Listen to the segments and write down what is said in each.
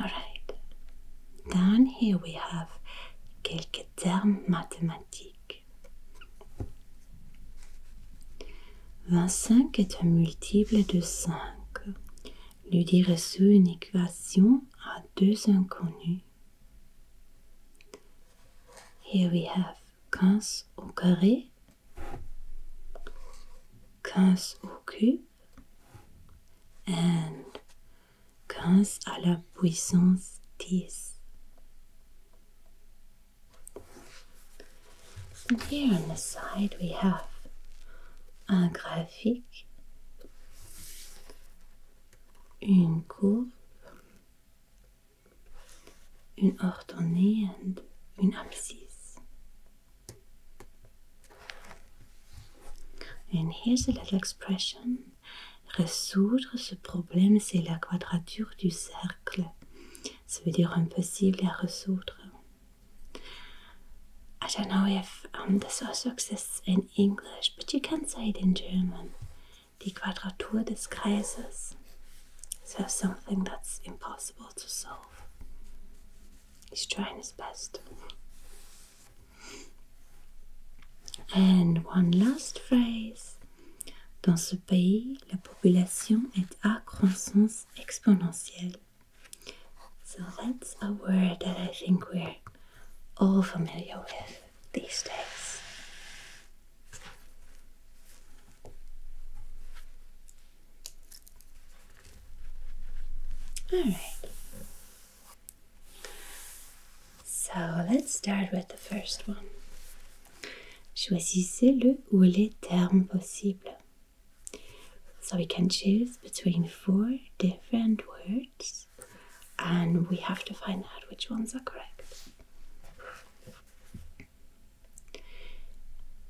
Alright. Down here we have quelques termes mathématiques. 25 est un multiple de 5. Lui sous une équation à deux inconnus. Here we have 15 au carré, 15 au cube, and 15 à la puissance 10. here on the side we have a graphique, une courbe, une ordonnée and une abscisse. And here's a little expression. Résoudre ce problème, c'est la quadrature du cercle. Ça veut dire impossible à résoudre. I don't know if um, this also exists in English, but you can say it in German. Die Quadratur des Kreises. So something that's impossible to solve. He's trying his best. And one last phrase. Dans ce pays, la population est à croissance exponentielle. So that's a word that I think we're all familiar with these days. All right. So let's start with the first one. Choisissez le ou les termes possibles. So we can choose between four different words and we have to find out which ones are correct.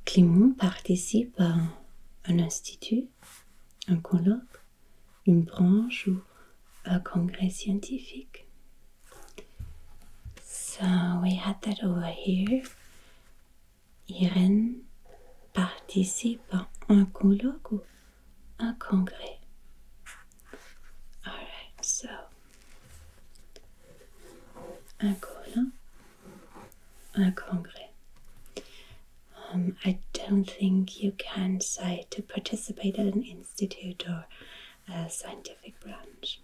Clément participe un institut, un colloque, une branche ou un congrès scientifique. So we had that over here. Irène participe à un colloque ou un congrès. Alright, so un colloque un congrès. Je um, I don't think you can puissiez to participate at an institute or a scientific branch.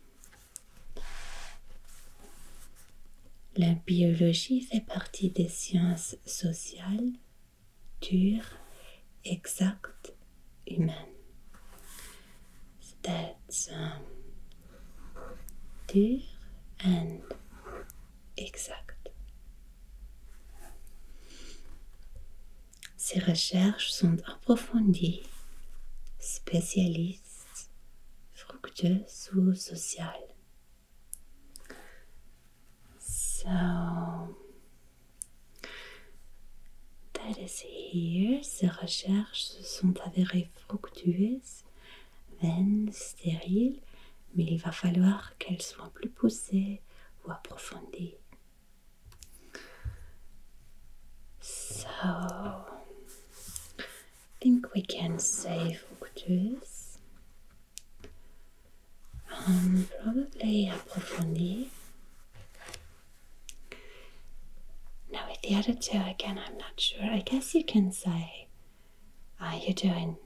La biologie fait partie des sciences sociales, dures, exactes, humaines. C'est dur et... Exact. Ces recherches sont approfondies, spécialistes, fructueuses ou sociales. So, that is here. Ces recherches se sont avérées fructueuses Veine stérile, mais il va falloir qu'elles soient plus poussées ou approfondies. So, I think we can say obtuse. Um, probably approfondie. Now with the other two again, I'm not sure. I guess you can say are uh, you doing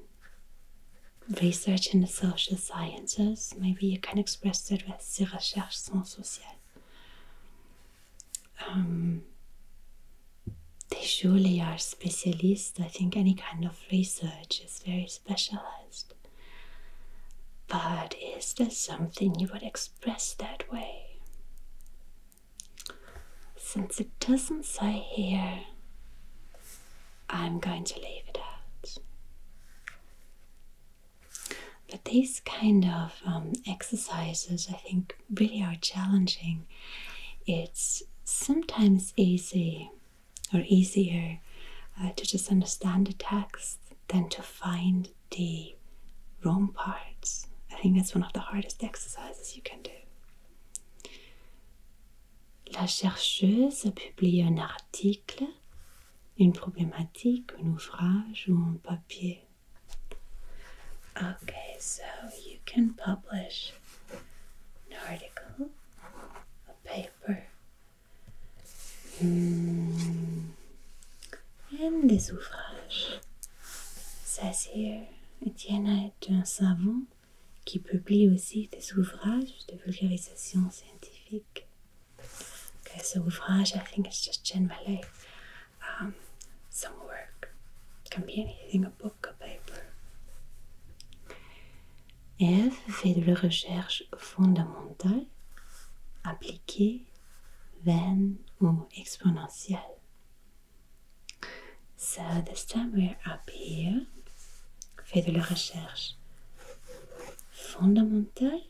research in the social sciences? Maybe you can express it with the recherches sont sociales. Um, they surely are specialists. I think any kind of research is very specialized. But is there something you would express that way? Since it doesn't say here, I'm going to leave it out. But these kind of um, exercises, I think, really are challenging. It's sometimes easy or easier uh, to just understand the text than to find the wrong parts. I think that's one of the hardest exercises you can do. La chercheuse a publié un article, une problématique, un ouvrage ou un papier. Okay, so you can publish an article, a paper, Et hmm. and this ouvrage. says Etienne d'un savant qui publie aussi des ouvrages de vulgarisation scientifique. Ok, ce ouvrage, I think it's just um, some work. It can be anything, a book, a paper. Eve fait de la recherche fondamentale, appliquée, vaine ou exponentielle. So this time we're up here. fait de la recherche fondamentale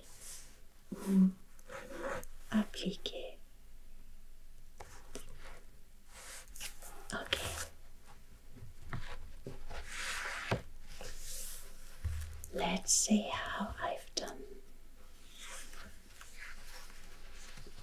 ou appliquée. Ok. Let's see how I've done.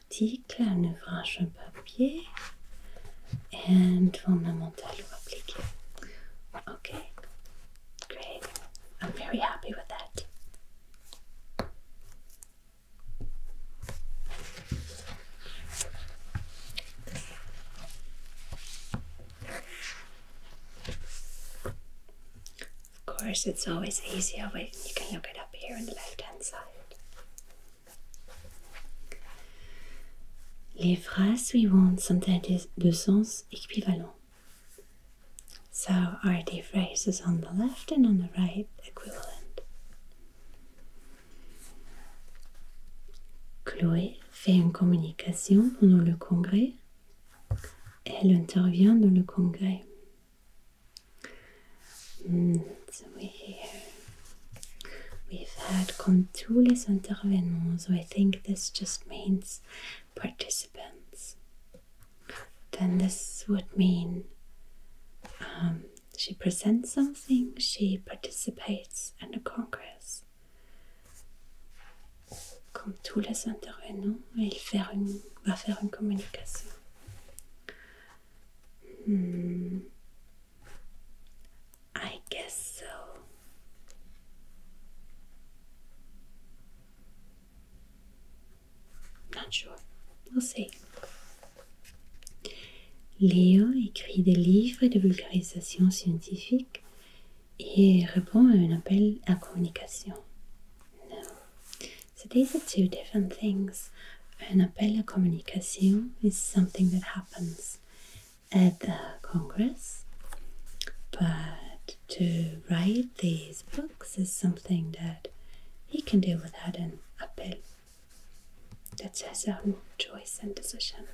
Article, artikel, ouvrage, franche papier, and fundamental appliqué. Okay, great. I'm very happy with that. Of course, it's always easier when you can look it up here on the left hand side. Les phrases suivantes sont de sens équivalent. So are the phrases on the left and on the right equivalent? Chloé fait une communication pendant le congrès. Elle intervient dans le congrès. Mm, so here we've had contules intervenants, so I think this just means participants. Then this would mean um, she presents something, she participates in a congress. Comme tous les intervenants, il faire une, va faire une communication. Hmm. I guess so. Not sure. We'll see. Léo écrit des livres de vulgarisation scientifique et répond à un appel à communication. No, so these are two different things. An appeal appella communication is something that happens at the Congress, but to write these books is something that he can do without an appel. That's his own choice and decision.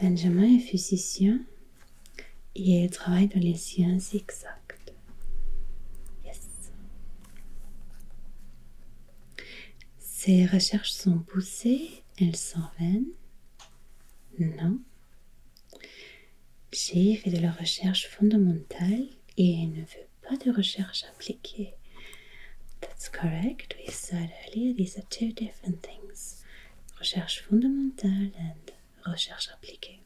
Benjamin est physicien he works in the les sciences Yes. Ces recherches sont poussées, elles s'en viennent. Non. J'ai fait de la recherche fondamentale et ne veut pas de recherche appliquée. That's correct. We said earlier these are two different things. Recherche fondamentale et recherche appliquée.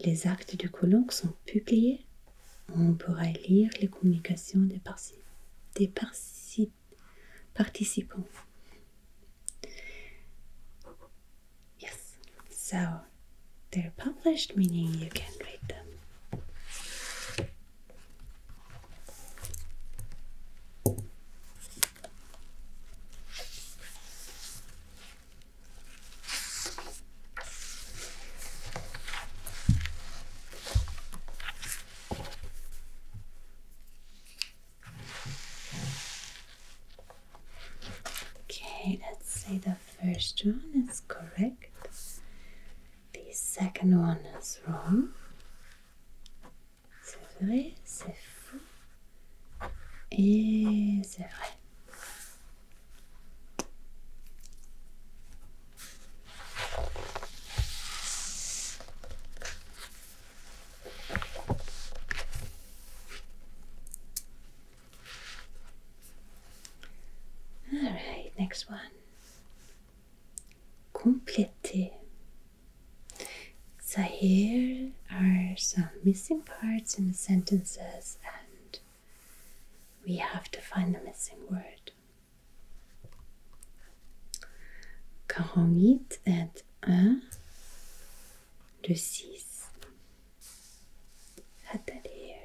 Les actes du colloque sont publiés. On pourra lire les communications des, participants. Yes, so they're published, meaning you can read them. Okay, let's say the first one is correct, the second one is wrong. C'est vrai, c'est fou, et c'est vrai. All right, next one. Compléter. So here are some missing parts in sentences and we have to find the missing word. Quarante huit est un le six. atelier,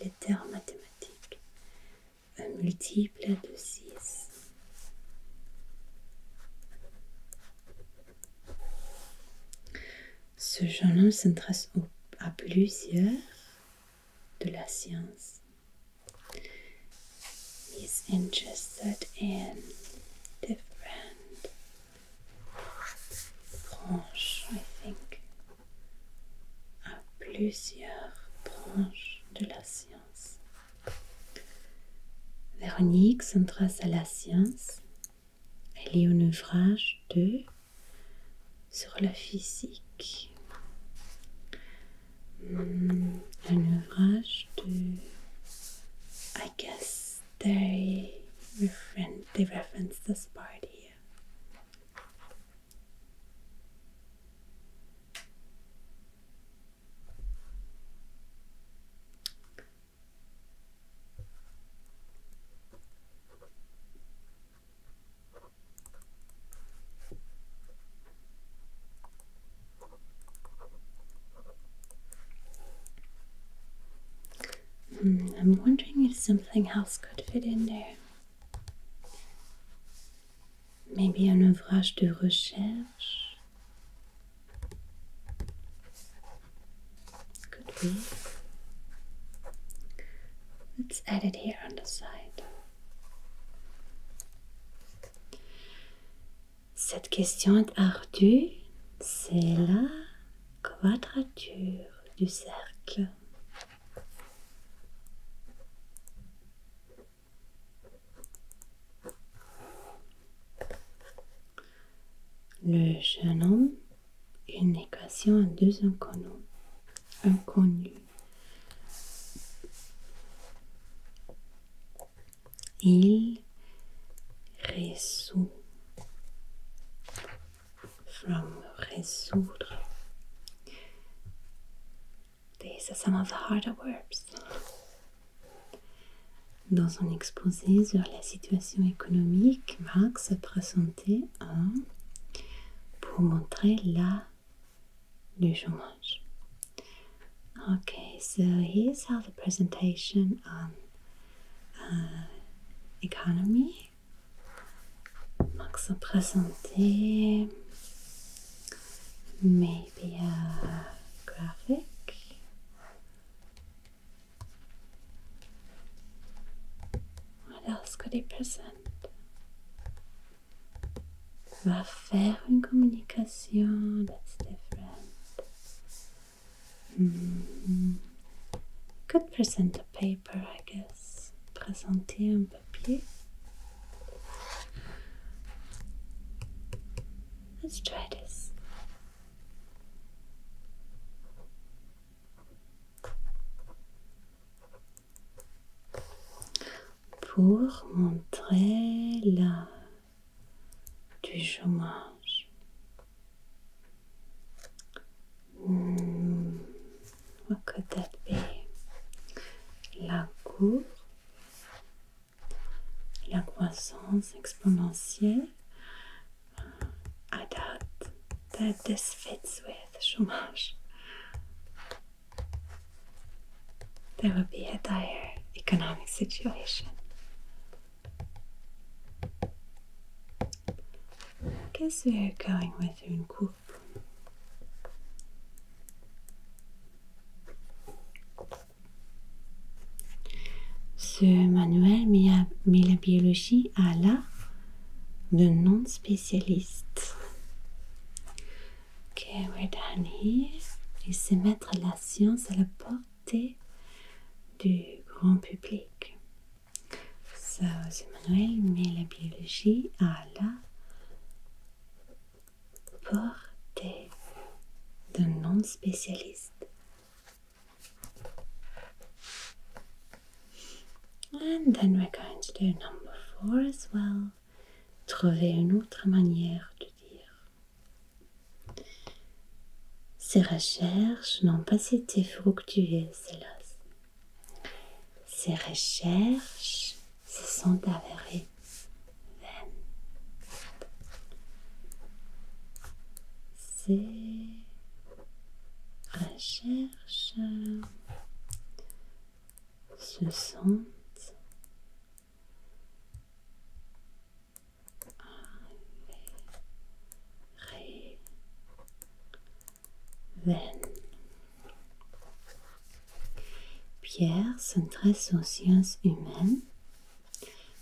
les termes mathématiques. Un multiple de 6. Ce homme s'intéresse à plusieurs de la science. He's interested in different branches, I think. À plusieurs branches de la science. Véronique s'intéresse à la science elle est un ouvrage de sur la physique. Hmm, un ouvrage de I guess qu'ils reference, they reference this part Hmm, I'm wondering if something else could fit in there. Maybe an ouvrage de recherche. C'est be. Let's add it here on the side. Cette question est ardue, c'est la quadrature du cercle. Le jeune homme une équation à deux inconnus. Il résout from résoudre. These are some of the harder verbs. Dans son exposé sur la situation économique, Marx a présenté pour montrer la du chômage. Okay, so here's how présentation presentation on uh, economy. a présenté maybe a graphic. What else could he present? Affair and communication, that's different. Hmm. Could present a paper, I guess. Présenter un papier. Let's try this. pour montrer la du chômage. Hmm. La courbe, la croissance exponentielle I doubt that this fits with chômage. There will be a dire economic situation. I guess we are going with une coupe. Ce manuel met la biologie à la de non-spécialiste. Ok, we're done here. Et c'est mettre la science à la portée du grand public. Ça, Emmanuel met la biologie à la portée de non-spécialiste. Et then we're going to do number 4 as well. Trouver une autre manière de dire. Ces recherches n'ont pas été fructueuses, hélas. Ces recherches se sont avérées vaines. C'est... Recherche euh, se sentent Pierre s'intéresse aux sciences humaines.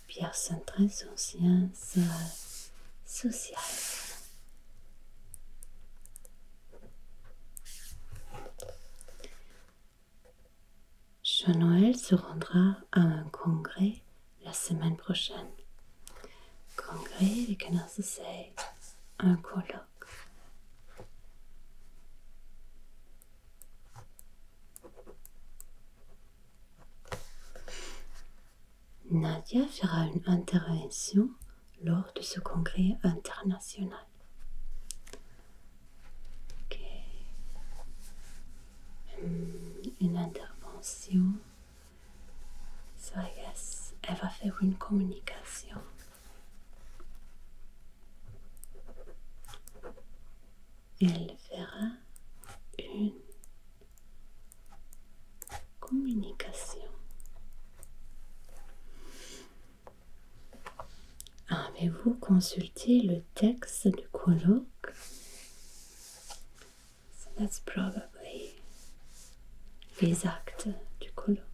Pierre s'intéresse aux sciences euh, sociales. Jean-Noël se rendra à un congrès la semaine prochaine. Congrès des canards un colloque. Nadia fera une intervention lors de ce congrès international. Hmm, une intervention. Ça elle va faire une communication. Elle fera une Communication. Avez-vous consulté le texte du colloque? that's les actes du colloque.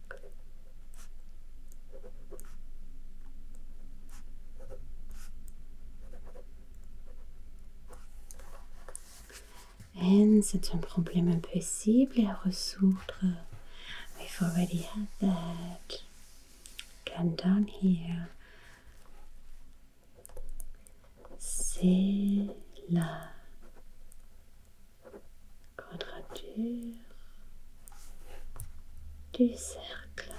And c'est un problème impossible à résoudre. We've already had that. Come down here. C'est la quadrature du cercle.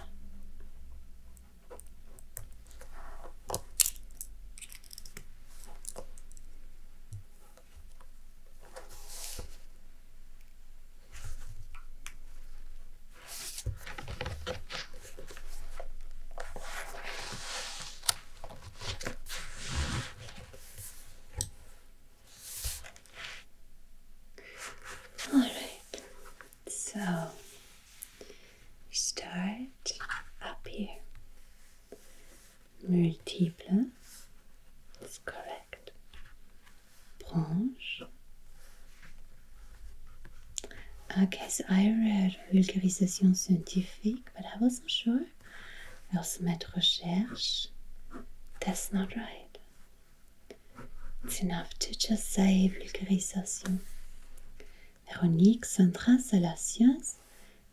All right, so start up here multiple is correct. Branche. I guess I read vulgarisation scientific, but I wasn't sure. I recherche. That's not right. It's enough to just say vulgarisation. Véronique s'intéresse à la science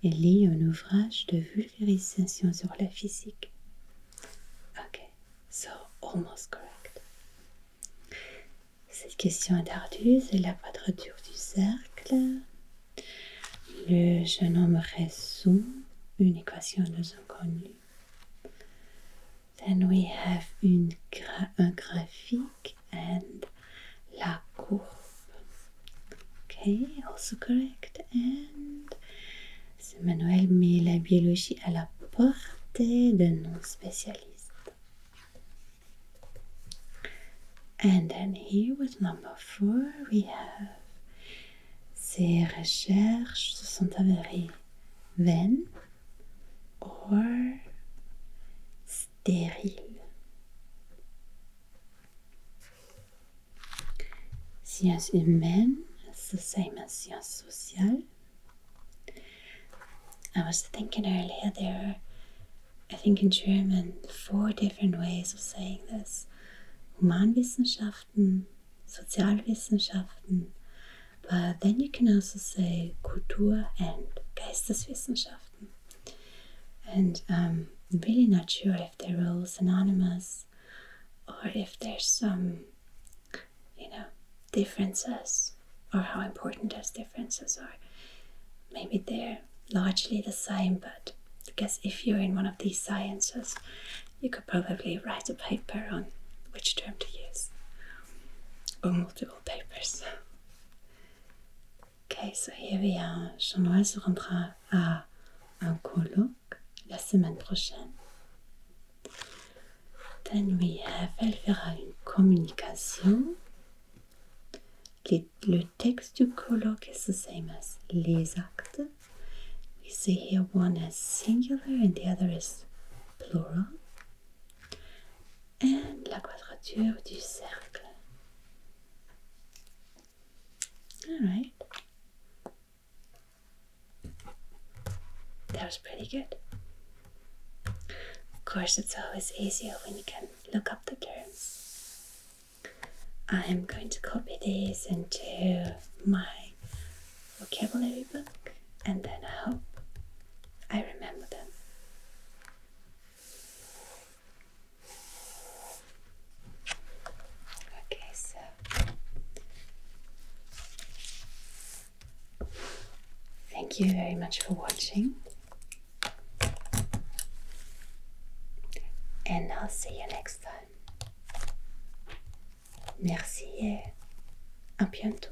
et lit un ouvrage de vulgarisation sur la physique. Ok, so almost correct. Cette question ardue, c'est la quadrature du cercle. Le jeune homme résout une équation son l'inconnu. Then we have une un graphie et la courbe. Okay, also correct. et c'est manuel met la biologie à la portée de non-spécialistes. And then here with number 4 we have ces recherches se sont avérées vaines ou stériles. Sciences humaines is the same as sciences social. I was thinking earlier there I think in German, four different ways of saying this. Humanwissenschaften, Sozialwissenschaften, but then you can also say Kultur and Geisteswissenschaften and um, I'm really not sure if they're all synonymous, or if there's some you know differences or how important those differences are maybe they're largely the same but I guess if you're in one of these sciences you could probably write a paper on which term to use or multiple papers Okay, so we are. Jean-Noël se rendra à un colloque la semaine prochaine. Then we have, elle fera une communication. le texte du colloque is the same as les actes. We see here one as singular and the other is plural. Et la quadrature du cercle. All right. That was pretty good. Of course, it's always easier when you can look up the terms. I'm going to copy these into my vocabulary book and then I hope I remember them. Okay, so thank you very much for watching, and I'll see you next time. Merci et à bientôt.